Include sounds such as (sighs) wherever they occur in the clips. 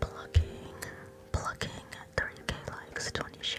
Plucking, plucking, 30k likes, 20 shares.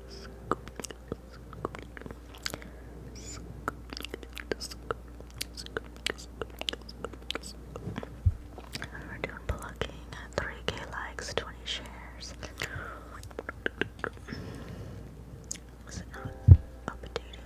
We're doing plucking 3k likes, 20 shares. Was it not updating?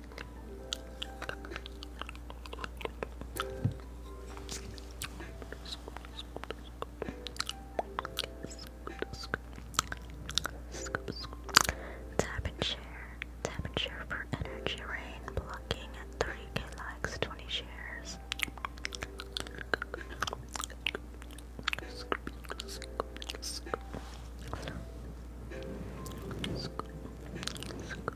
Tap and share. Tap and share for energy rain blocking at 30k likes, 20 shares.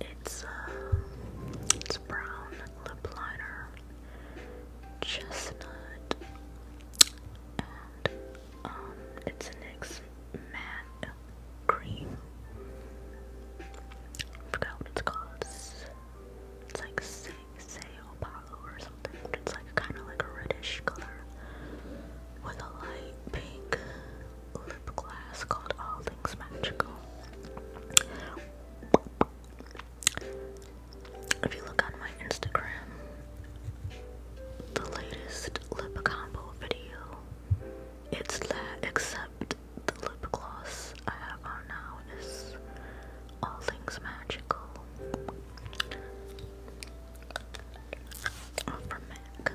It's uh, it's brown lip liner, chestnut, and um, it's a NYX matte cream. forgot what it's called. It's, like like or something, it's like kind of like a reddish color with a light pink lip called All Things Magical. If you look on my Instagram, the latest lip combo video, it's that except the lip gloss I have on now is all things magical. from Mac.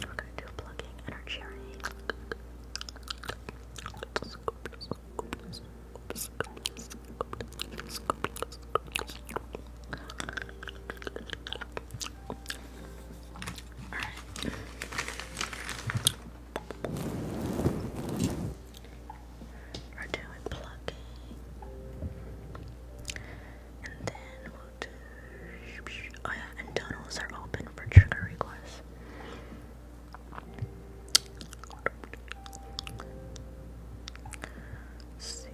We're gonna do plugging and our cherry. Alright. We're doing plugging. And then we'll do Oh, and tunnels are open for trigger requests. Let's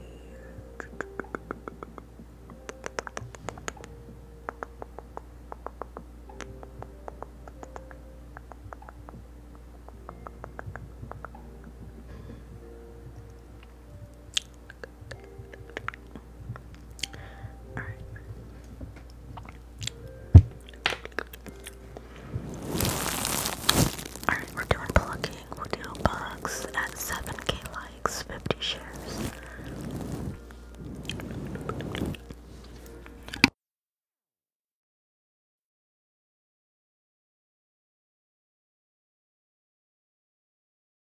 Alright. we're doing plugging. We'll do bugs at 7k likes, 50 shares.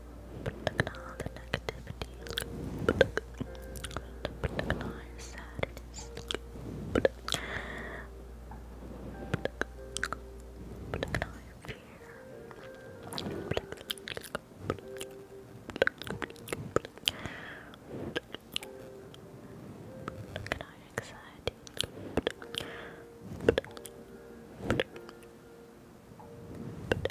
all the negativity. Recognize sadness. Recognize fear. Recognize anxiety. Recognize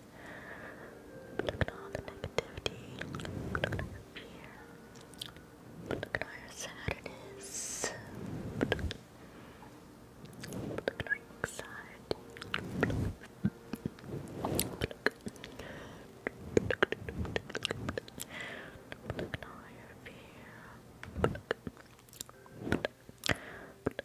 Look at all the negativity. Look at our fear. Look at our sadness. Look at our anxiety. Look. all your fear. Look. Look. Look. Look.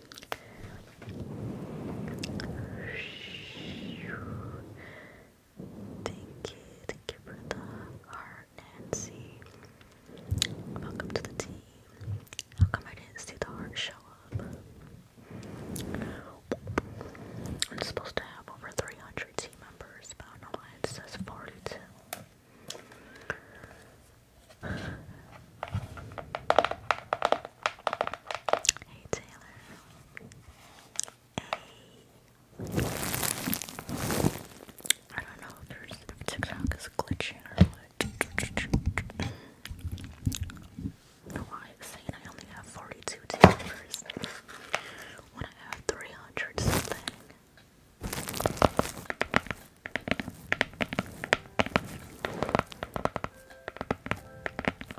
Thank you, thank you for the heart, Nancy. Welcome to the team. How come I didn't see the heart show up? I'm supposed to have over 300 team members, but I don't know why it says 42. Hey Taylor. Hey. I don't know if there's TikTok is glitching or what. No, I saying I only have 42 tickers when I have 300 something.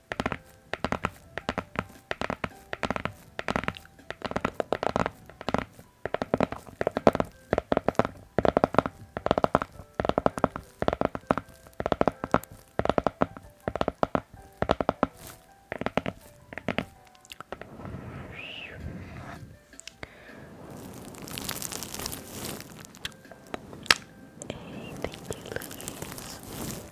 Hey, thank you, Louise.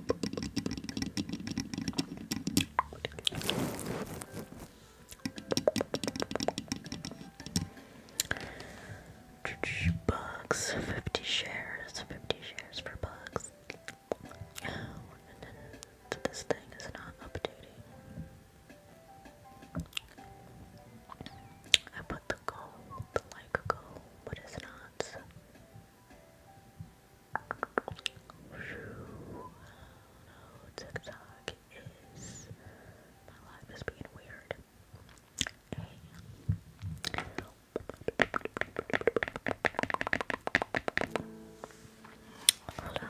Bugs, fifty shares, fifty shares for bugs. Oh, this thing is not updating. I put the gold, the like gold, but it's not. Oh no, TikTok is my life is being weird. Hold on.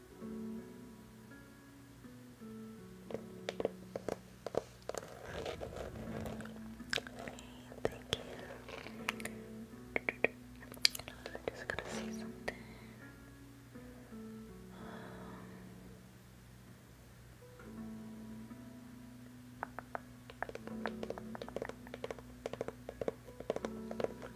thank you. I'm just gonna see something.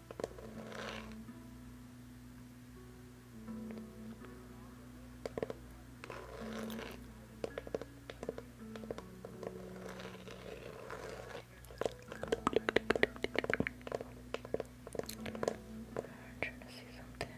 I'm trying to see something.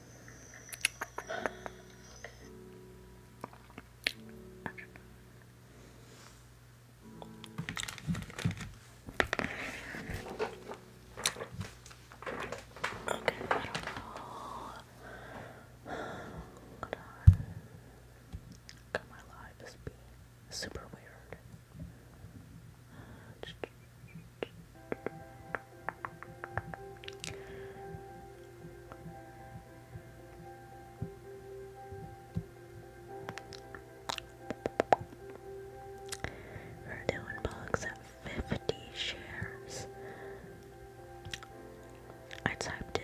Okay, I don't know. Hold (sighs) on. God, my life is being super weird. We're doing bugs at 50 shares. I typed it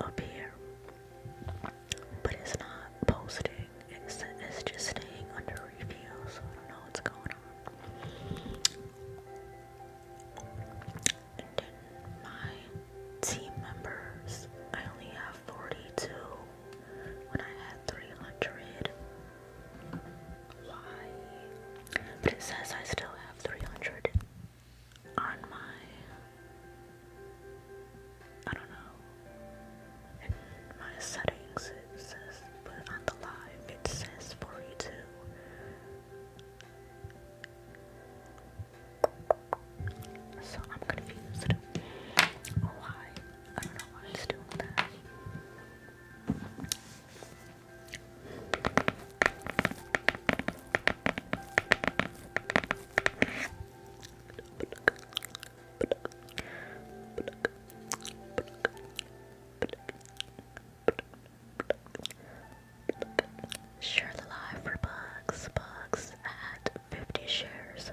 up here, but it's not posting. It's, it's just staying under review, so I don't know what's going on my team members, I only have 42 when I had 300. Why? But it says I still have 300 on my. I don't know. In my settings, it says, but on the live, it says 42. So I'm confused. Why? I don't know why it's doing that. Share the live for bugs. Bugs at 50 shares.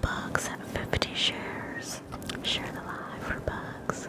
Bugs at 50 shares. Share the live for bugs.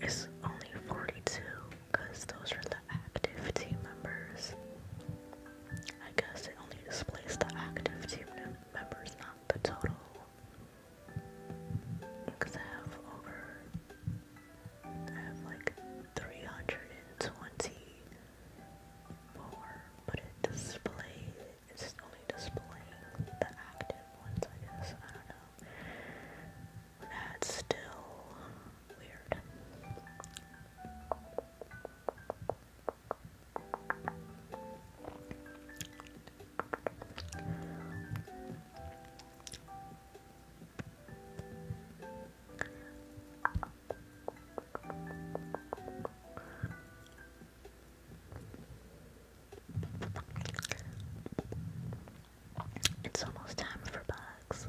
it's only 42 because those are the active team members. I guess it only displays the active team members, not the total. Because I have over, I have like 324, but it displays, it's only displaying the active ones, I guess. I don't know. That's still weird. It's almost time for bugs.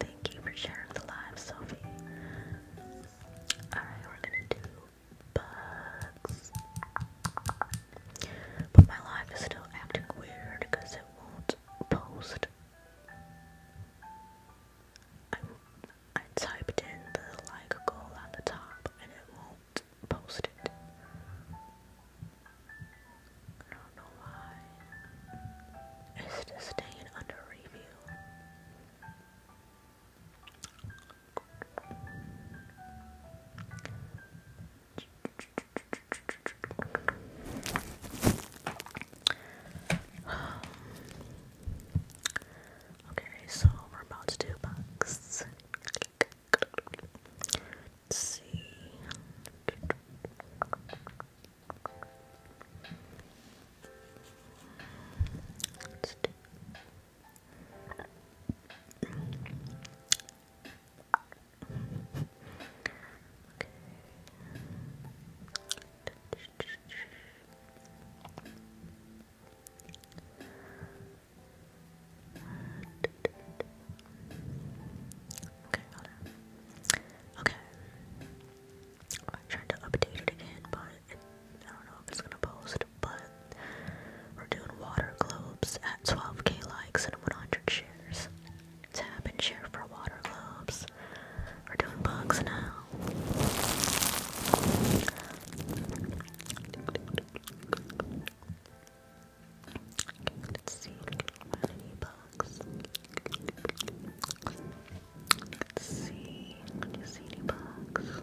thank you for sharing the live, Sophie. Alright, we're gonna do bugs. But my live is still acting weird because it won't post I, I typed in the like goal at the top and it won't post it. I don't know why. It's just staying under review. Um, okay, so we're about to do bugs. let see. Okay, Okay. I to update it again, but I don't know if it's gonna post, but we're doing water globes at 12k likes and 100 shares. Tap and share for water globes. We're doing bugs now. let's see any bugs. Let's see. any bugs?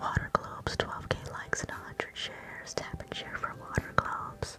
Water Globes, 12k likes and 100 shares. Tap and share for Water Globes.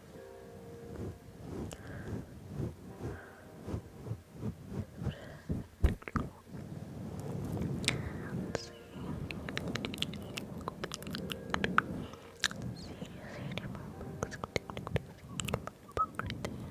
Let's see. Let's see, see any more books? Book right there. So, okay. There.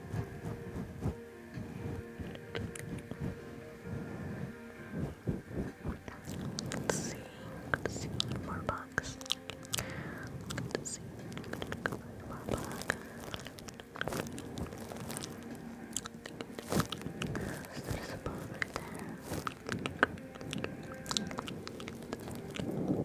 Let's see. Let's see more box. Let's see. more box. There's a bone right there.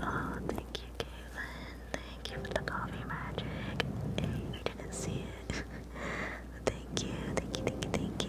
Oh, thank you, Caitlin. Thank you for the coffee magic. Hey, didn't see it. thank you, thank you, thank you.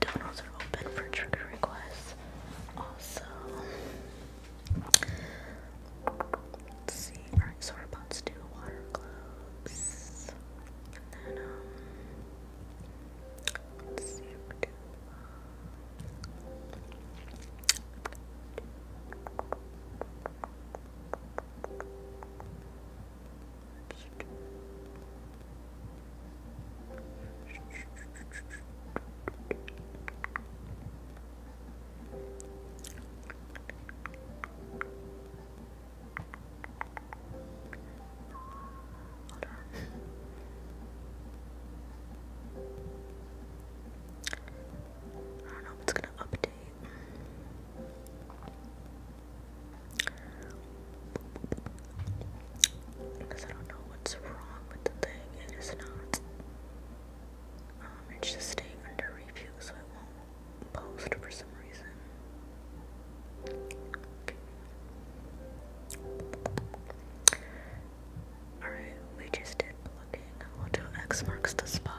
Donuts are open for trigger requests. Also, let's see. Alright, so we're about to water gloves. And then, um, let's see if we can. Let's Hold on. I don't know if it's gonna update. Because I don't know what's wrong with the thing. It is not. Um, it's just staying under review, so Alright, we just did plugging. We'll do X marks the spot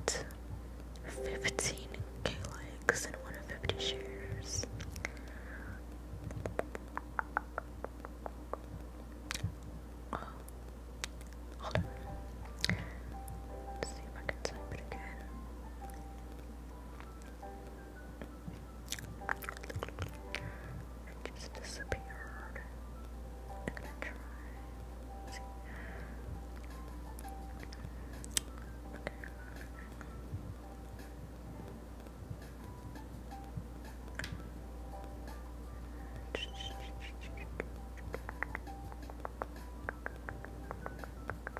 at 15k likes and 150 shares. Oh. Let's see if I can type it again just disappeared. I'm gonna try.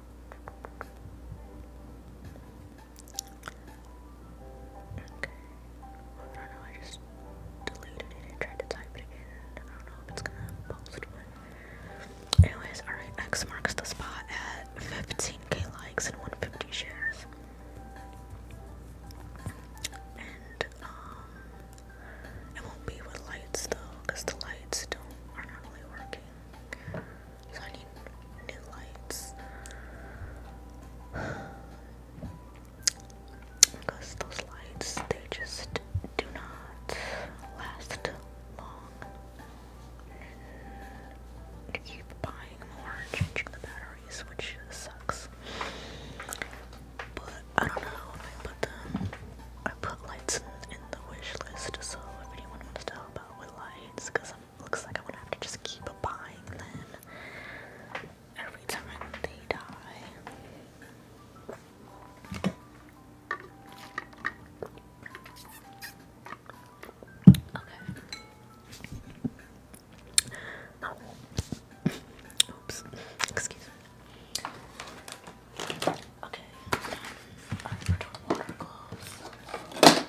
Okay. Well, I don't know, I just deleted it and tried to type it again. I don't know if it's gonna post, but. Anyways, alright, X marks the spot at 15k likes and 150 shares. And, um, it won't be with lights though, the lights don't, are not really working. So I need new lights. Because those lights, they just do not last long. You keep buying more changing the batteries, which sucks. But I don't know I put them. I put lights in, the wish list, so if wants to about with lights because it looks like I'm gonna have to just keep buying them every time they die. Okay. Oh. Oops. Excuse me. Okay, I'm going to water gloves.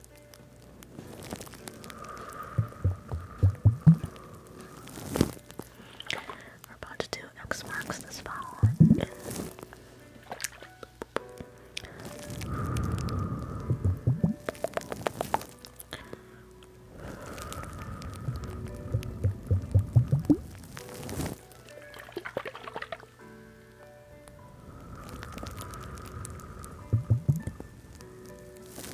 We're about to do X marks the spot.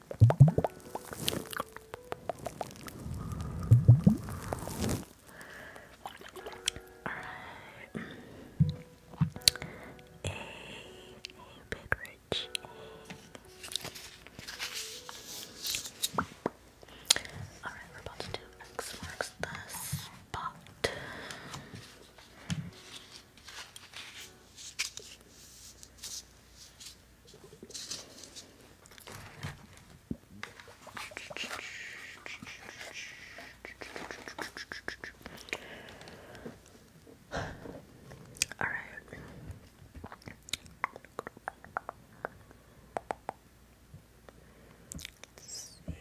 Alright. A, a bit Alright, we're about to do X marks the spot. All right. Let's see. Let's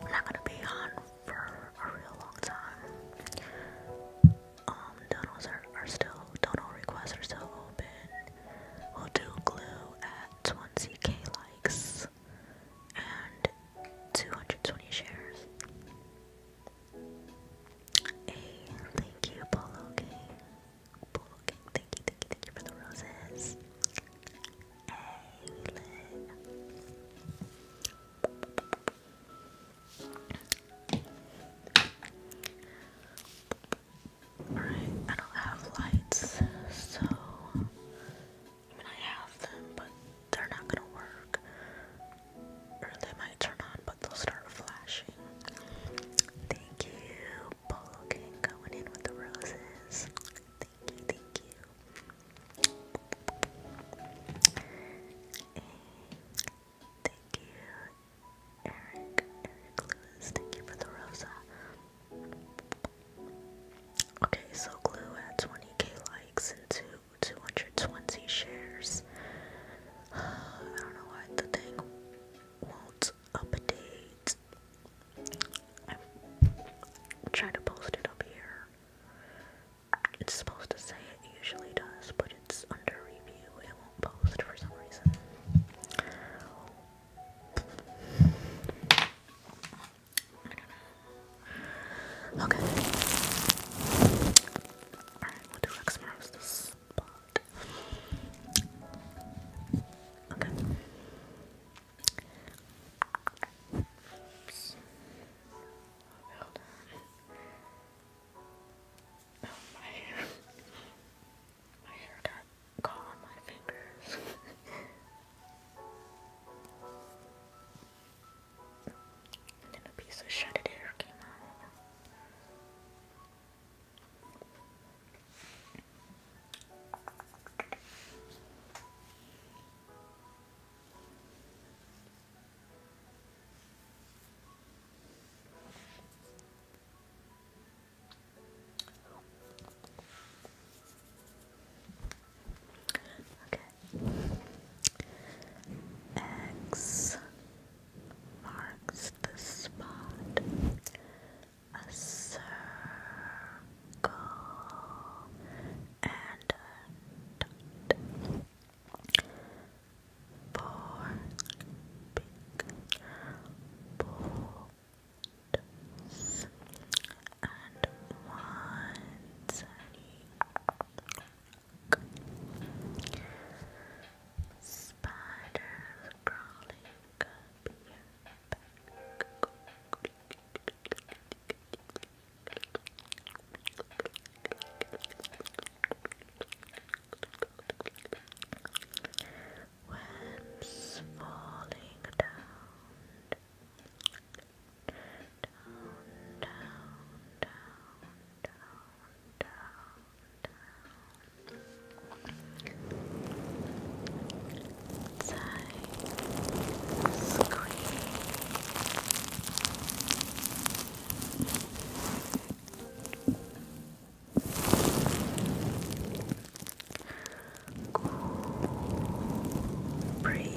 I'm not gonna be on for a real long time. Um, donors are, still, donor requests are still open. We'll do glue at 20k likes and 220 shares. A thank you, Polo King. Polo King, thank you, thank you, thank you for the roses. A lit. Alright, I don't have lights, so I mean I have them, but they're not gonna work. Or they might turn on, but they'll start flashing. Thank you, Polo going in with the roses. Thank you, thank you. Thank you, Eric, Eric Lewis. Thank you for the rosa. Okay, so Glue had 20k likes and two, 220 shares. I don't know why the thing won't update. I'm trying to post it up here. It's supposed to say it usually does, but it's under review. It won't post for some reason. Okay. Alright, we'll do X spot. Okay. Well done. Oh, my hair. My hair got caught on my fingers. and then a piece of shredded hair came out. Okay. X marks the spot. A circle and dot. Four big bolts and one tiny crawling up your back. Webs falling down. Down, down, down, down, down, down. scream. Cool breeze.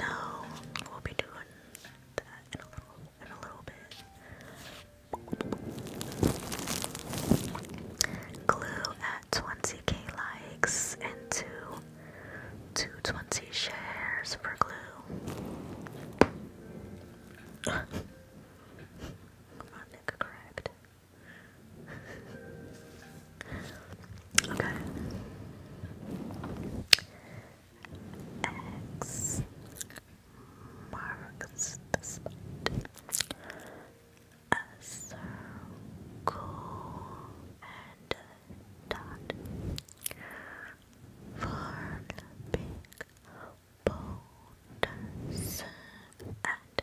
No, we'll be doing that in a little bit. Glue at 20k likes and two two twenty shares for glue. (laughs) My neck cracked okay. X marks the circle and dot. Four big boulders and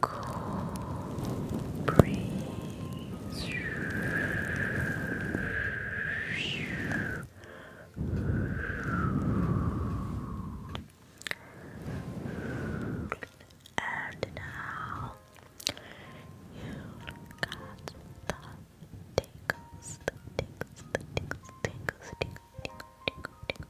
Cool breeze. And now you got the tickles, the tickles, the tickles, tickles, tickles, tickles, tickles,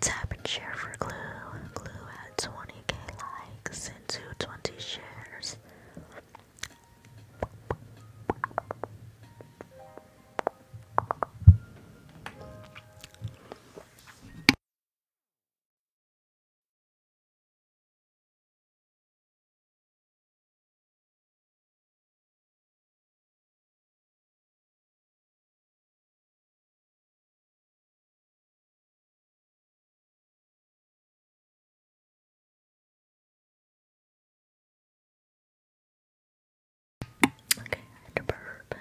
Tap and share for glue, 20k likes and 220 shares. Okay, I had to burp.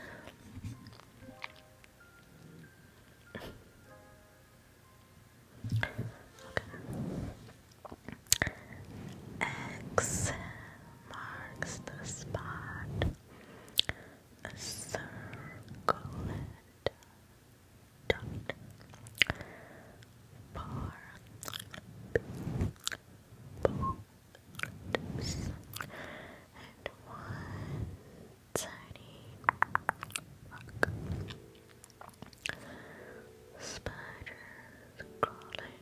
X marks the spot. Circlet dot bar bolts and one tiny rock spiders crawling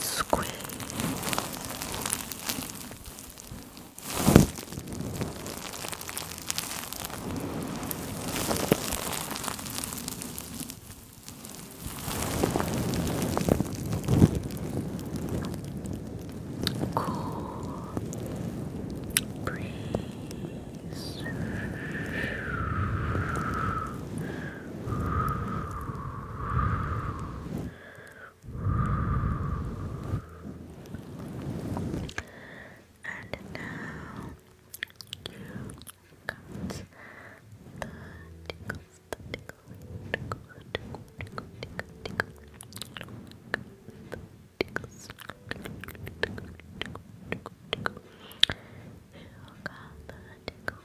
squeeze. Cool breeze. And now you comes the tickles, the tickle, tickle, tickle, tickle, tickle, tickle. Tickles, tickle, tickle, tickle, tickle. You got the tickle,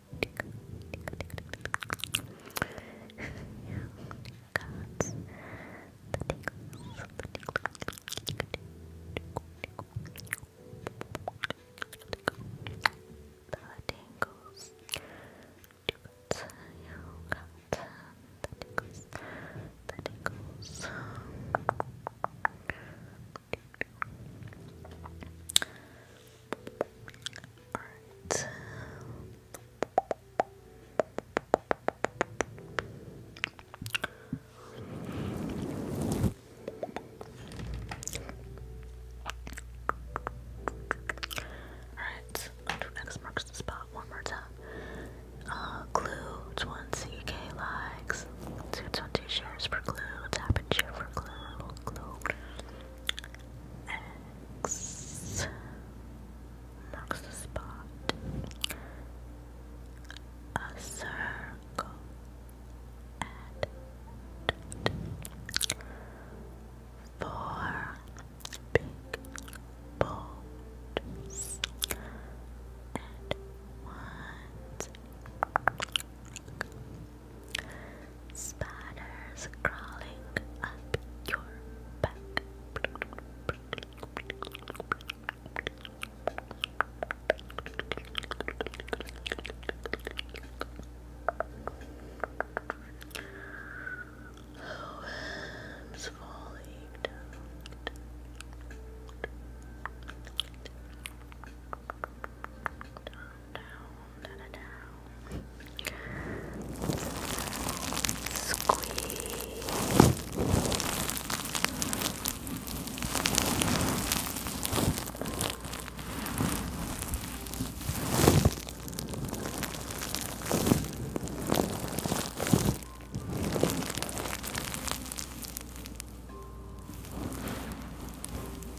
yeah, gods, the tingles, the tingles, the tingles, Tingles, yeah, gods, the tingles, the tingles. Alright. Alright, X marks the spot one more time. Uh, glue, 20k likes, 220 shares for glue, tap and share for glue, marks marks the spot a circle and four big balls and one Spiders crawling up your back. Oh, falling Down, down, down, down. Squeeze. Squeeze. I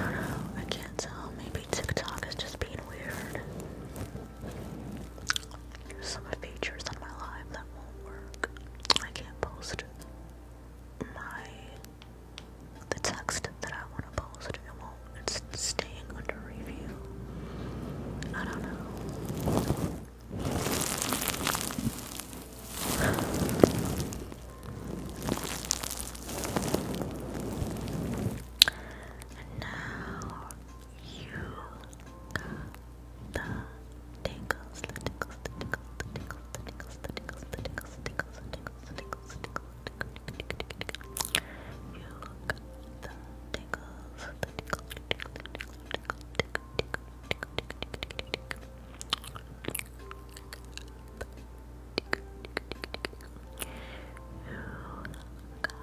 don't know, I can't tell. Maybe TikTok is just being weird. There's some features on my live that won't work. I can't post my the text that I want to post. It won't. It's under review. I don't know. And now you got the tingles, the tingles, the tingles, the tingles, the tingles, the tingles, the tingles, the tingles, the tingles, the tingles, the tingles, You got the tingles, the tingles, the tingles, the tingles, you got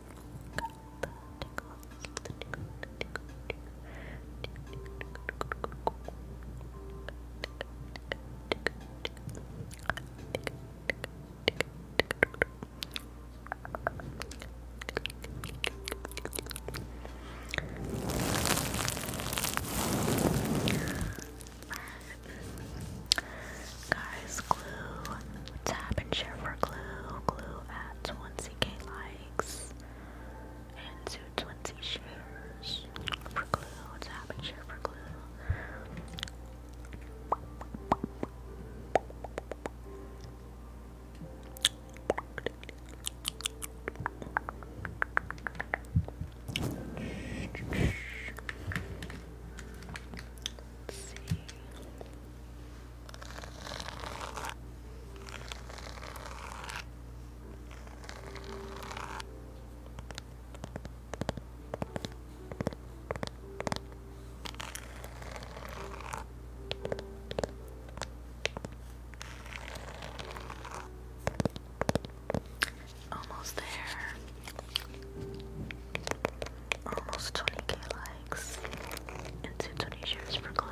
Guys, glue. Tap and share for glue. Glue at 1ck likes and two twenty shares for glue. What's happening share glue? Let's see. Almost there. Almost 20k likes and 220 shares for Glue.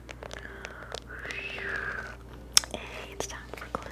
It's time for glue.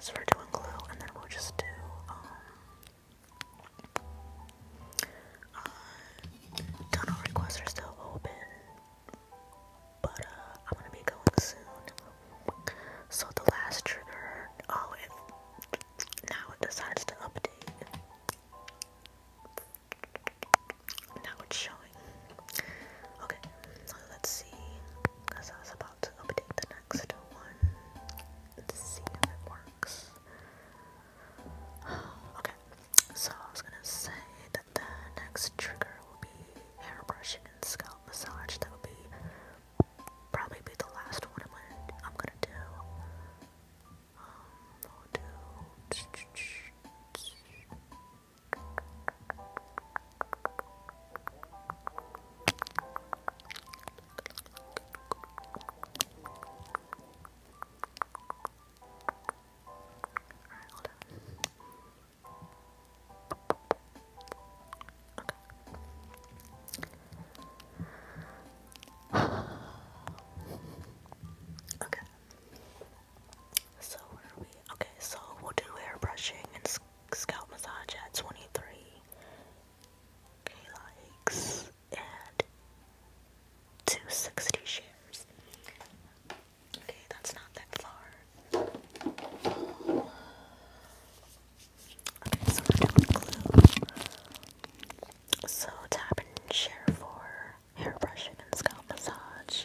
So we're doing glue, and then we'll just do, um, uh, requests are still open, but, uh, I'm gonna be going soon. So the last trigger, oh, now it decides to update. Now it's showing. Okay, let's see, about to update the next one and see if it works. (sighs) Okay, so I was gonna say that the next trigger will be hair brushing and scalp massage. That would be probably be the last one I'm gonna, I'm gonna do. Um, Okay. So where are Okay, so we'll do hair brushing and scalp massage at 23. K likes and 260 shares. Okay, that's not that far. Okay, so we're down to glue. So tap and share for hair brushing and scalp massage.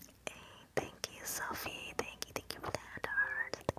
Hey, thank you, Sophie. Thank you, thank you for that heart. Thank you.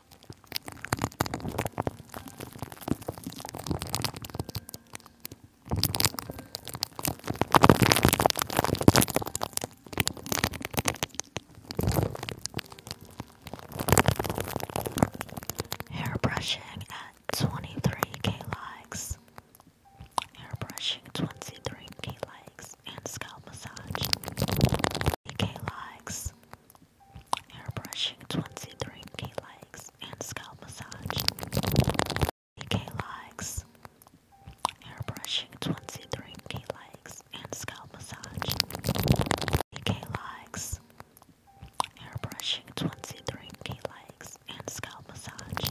Hair brushing at 23k likes. Hair brushing 23k likes and scalp massage. 3k likes. Airbrushing 23k likes and scalp massage. 23k Airbrushing 23k and scalp massage. 23k Airbrushing 23k and scalp massage.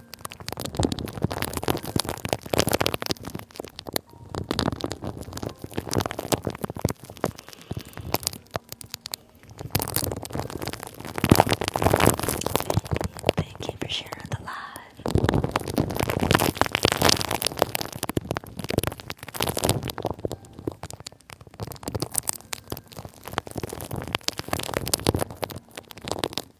Thank you for sharing the love.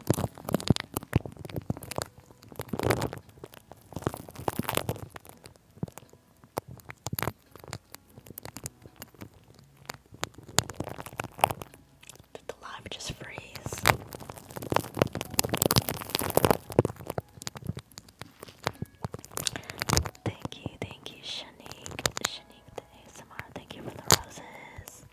Did the lime just freeze? Thank you, thank you, Shanique. Shanique, ASMR. Thank you for the roses.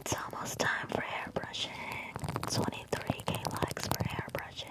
It's almost time for hair brushing. 23k likes for hair brushing.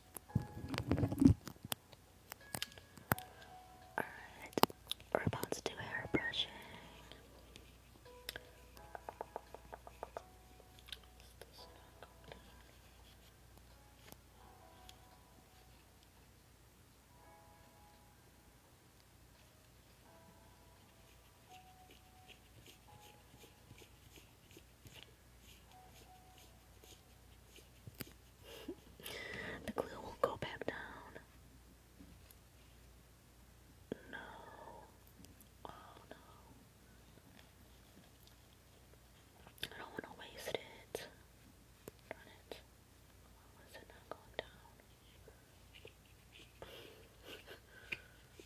Alright, we're about to do hair brushing the glue won't go back down. No. Oh no. I don't want to waste it. Darn it. Why is it not going down?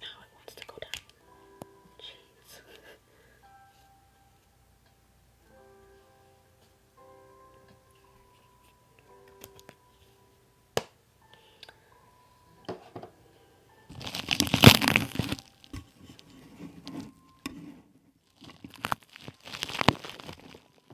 Now it wants to go down. Jeez.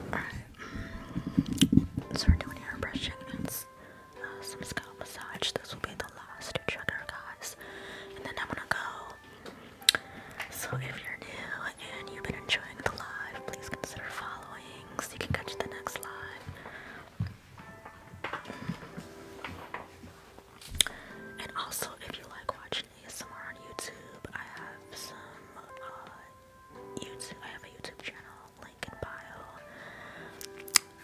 Alright. So we're doing hair brushing and uh, some scalp massage. This will be the last trigger, guys. And then I'm gonna go. So if you're new and you've been enjoying the live, please consider following so you can catch the next live. And also, if you like watching ASMR on YouTube, I have some uh, YouTube. I have a YouTube channel link in bio,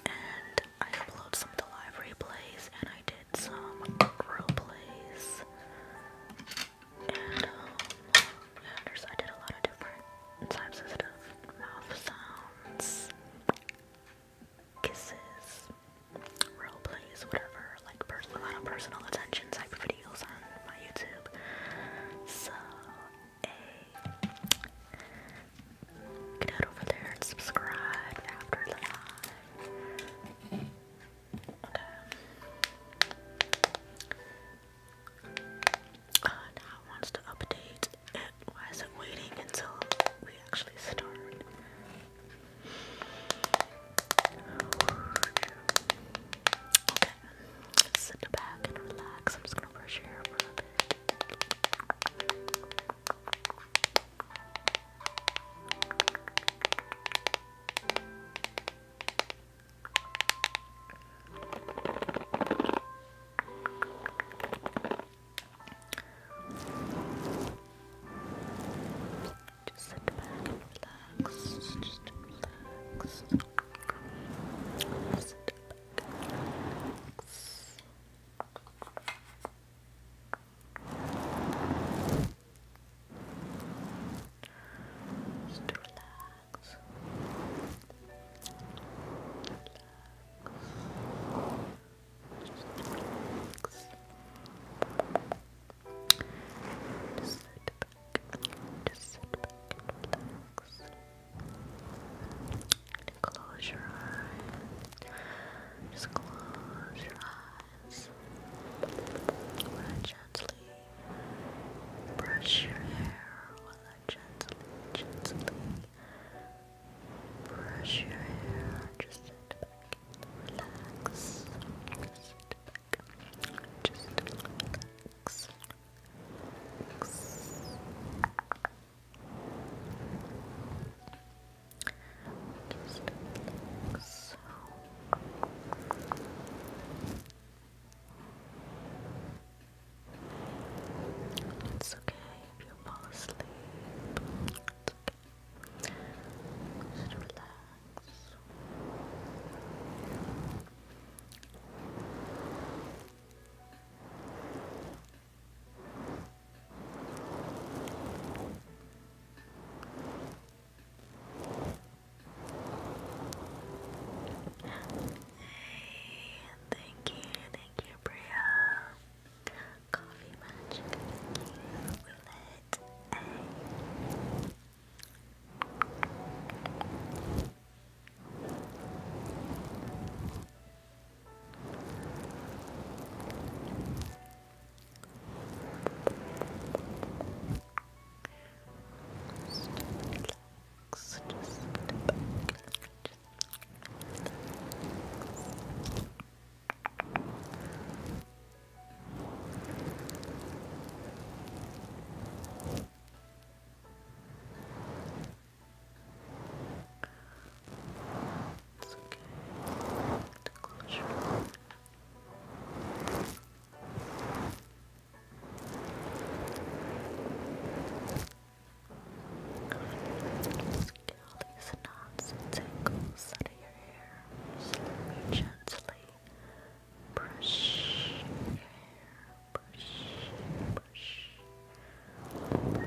and I upload some of the live replays, and I did some role plays, and um, yeah, there's, I did a lot of different types of stuff, mouth sounds kisses, role plays, whatever, like a lot of personal attention type videos on my YouTube. So, hey, over there and subscribe after the live. Okay. Uh, now it wants to update why is it waiting until we actually start? Okay, let sit back and relax. I'm just gonna brush your hair for a bit. Just sit back and relax. Just relax. Sit relax. Just Relax. Just sit back, just sit back and relax. And close your eyes. Just close your eyes. While I gently brush your hair, while I gently, gently, brush your hair, just sit back, relax, sit back, just relax, relax. Just relax. It's okay you fall asleep. It's Just relax. Hey, thank you, thank you, Priya. Coffee Magic Roulette A. Just just step it's okay. To close your eyes. It's okay. Just get all these knots and tangles out of your hair. gently brush your hair. Brush, brush, brush. Brush,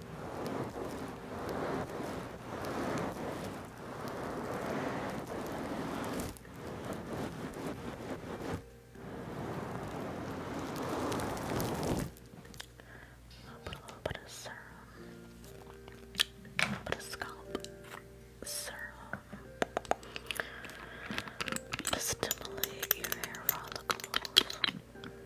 I'll put a little bit of serum, a little bit of scalp serum to stimulate your hair follicles.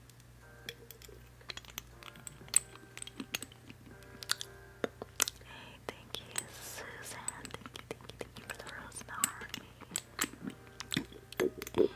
Hey, thank you, Susan. Thank you, thank you, for the rose in the army.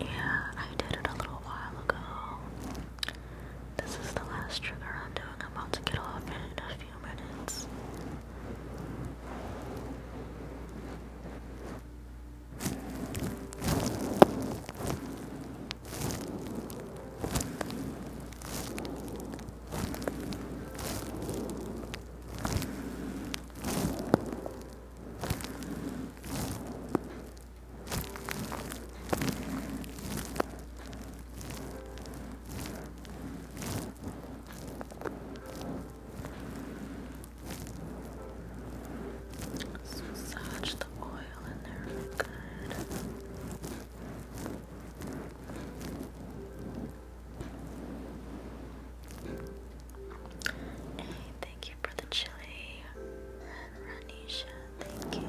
Yeah, I did it a little while ago. This is the last trigger I'm doing. I'm about to get off in a few minutes. Just massage the oil in there good. Hey, thank you for the chili. And Ranisha, thank you.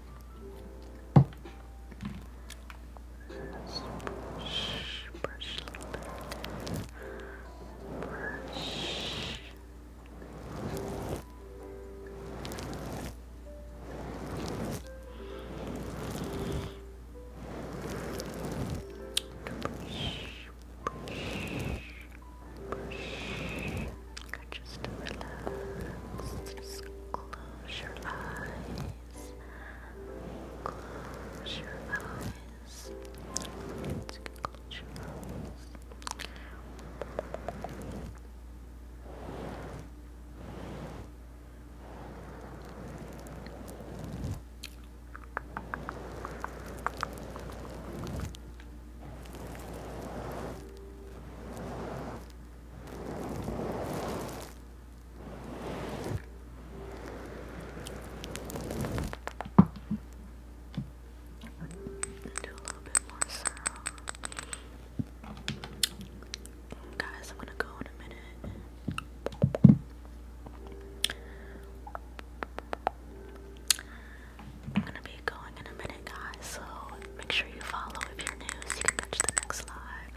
brush, brush, brush. Just relax. Just close your eyes. Close your eyes. Let's close your do Guys, I'm gonna go in a minute. I'm gonna be going in a minute, guys, so make sure you follow if you're new so you can catch the next live.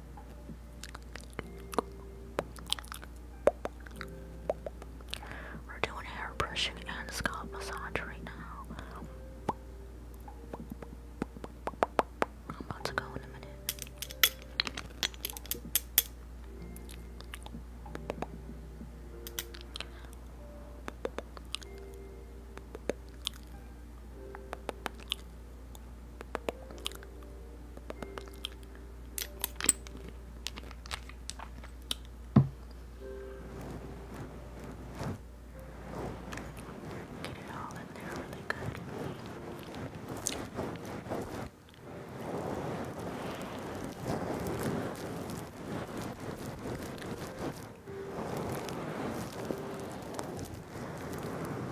We're doing hair brushing and scalp massage right now. I'm about to go in a minute. Get it all in there really good.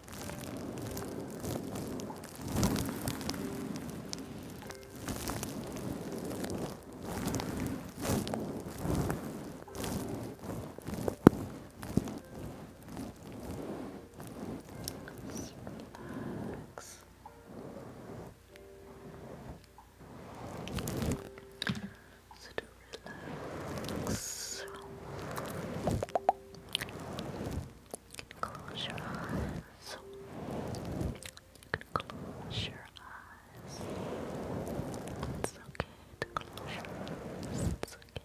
Just relax. So do relax. You can close your eyes. You can close your eyes. It's okay to close your eyes. It's okay.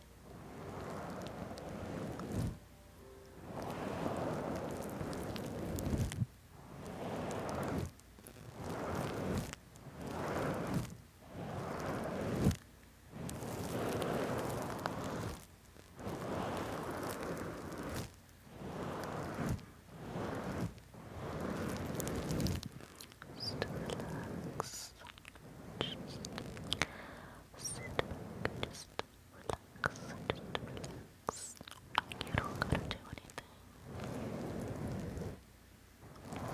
Just relax. Just sit back. Just relax. Just relax. You don't gotta do anything. Just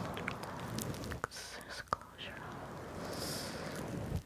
relax. Just close your eyes.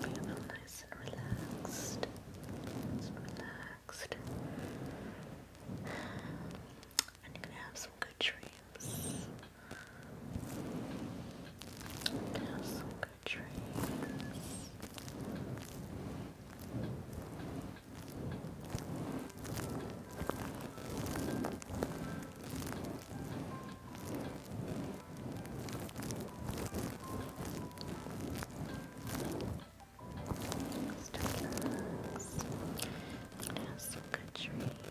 Feel nice and relaxed. Nice relaxed. And you're gonna have some good dreams. have some good dreams. Just relax. You can have some good dreams. Okay.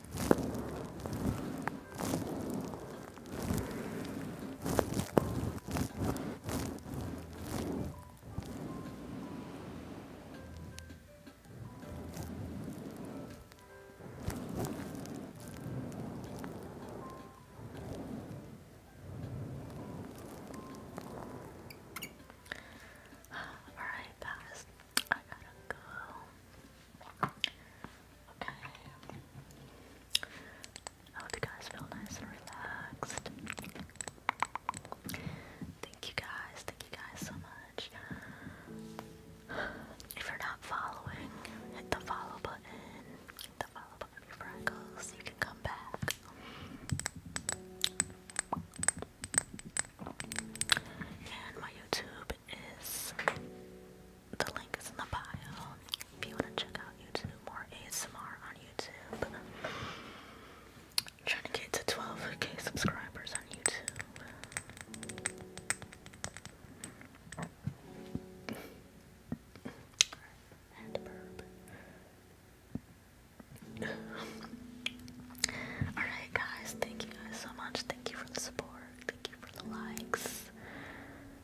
Alright, that is I gotta go. Okay. I hope you guys feel nice and relaxed. Thank you guys, thank you guys so much. If you're not following, hit the follow button. Hit the follow button for Freckles so you can come back. And my YouTube is the link is in the bio if you want to check out YouTube or ASMR on YouTube. trying to get to 12k subscribers on YouTube. (sighs) Alright guys, thank you guys so much. Thank you for the support. Thank you for the likes,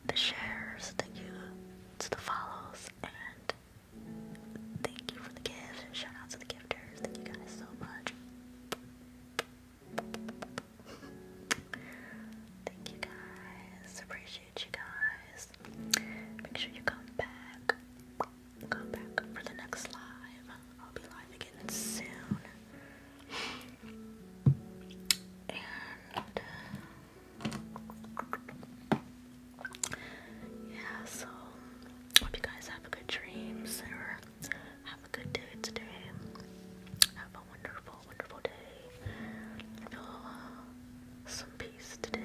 the shares. Thank you to the follows, and thank you for the gift. Shout out to the gifters. Thank you guys so much. Thank you guys. Appreciate you guys. Make sure you come back. Come back for the next live. I'll be live again soon yeah, so hope you guys have a good dreams or have a good day today. Have a wonderful, wonderful day. Feel uh, some peace today.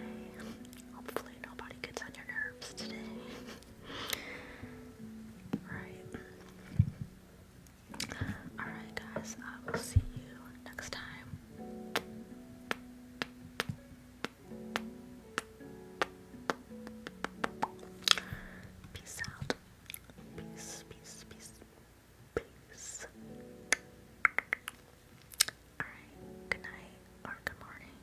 Hopefully nobody gets on your nerves today. (laughs) right. Alright, guys, I will see you next time. Peace out. Peace, peace, peace, peace. Alright, good night or good morning.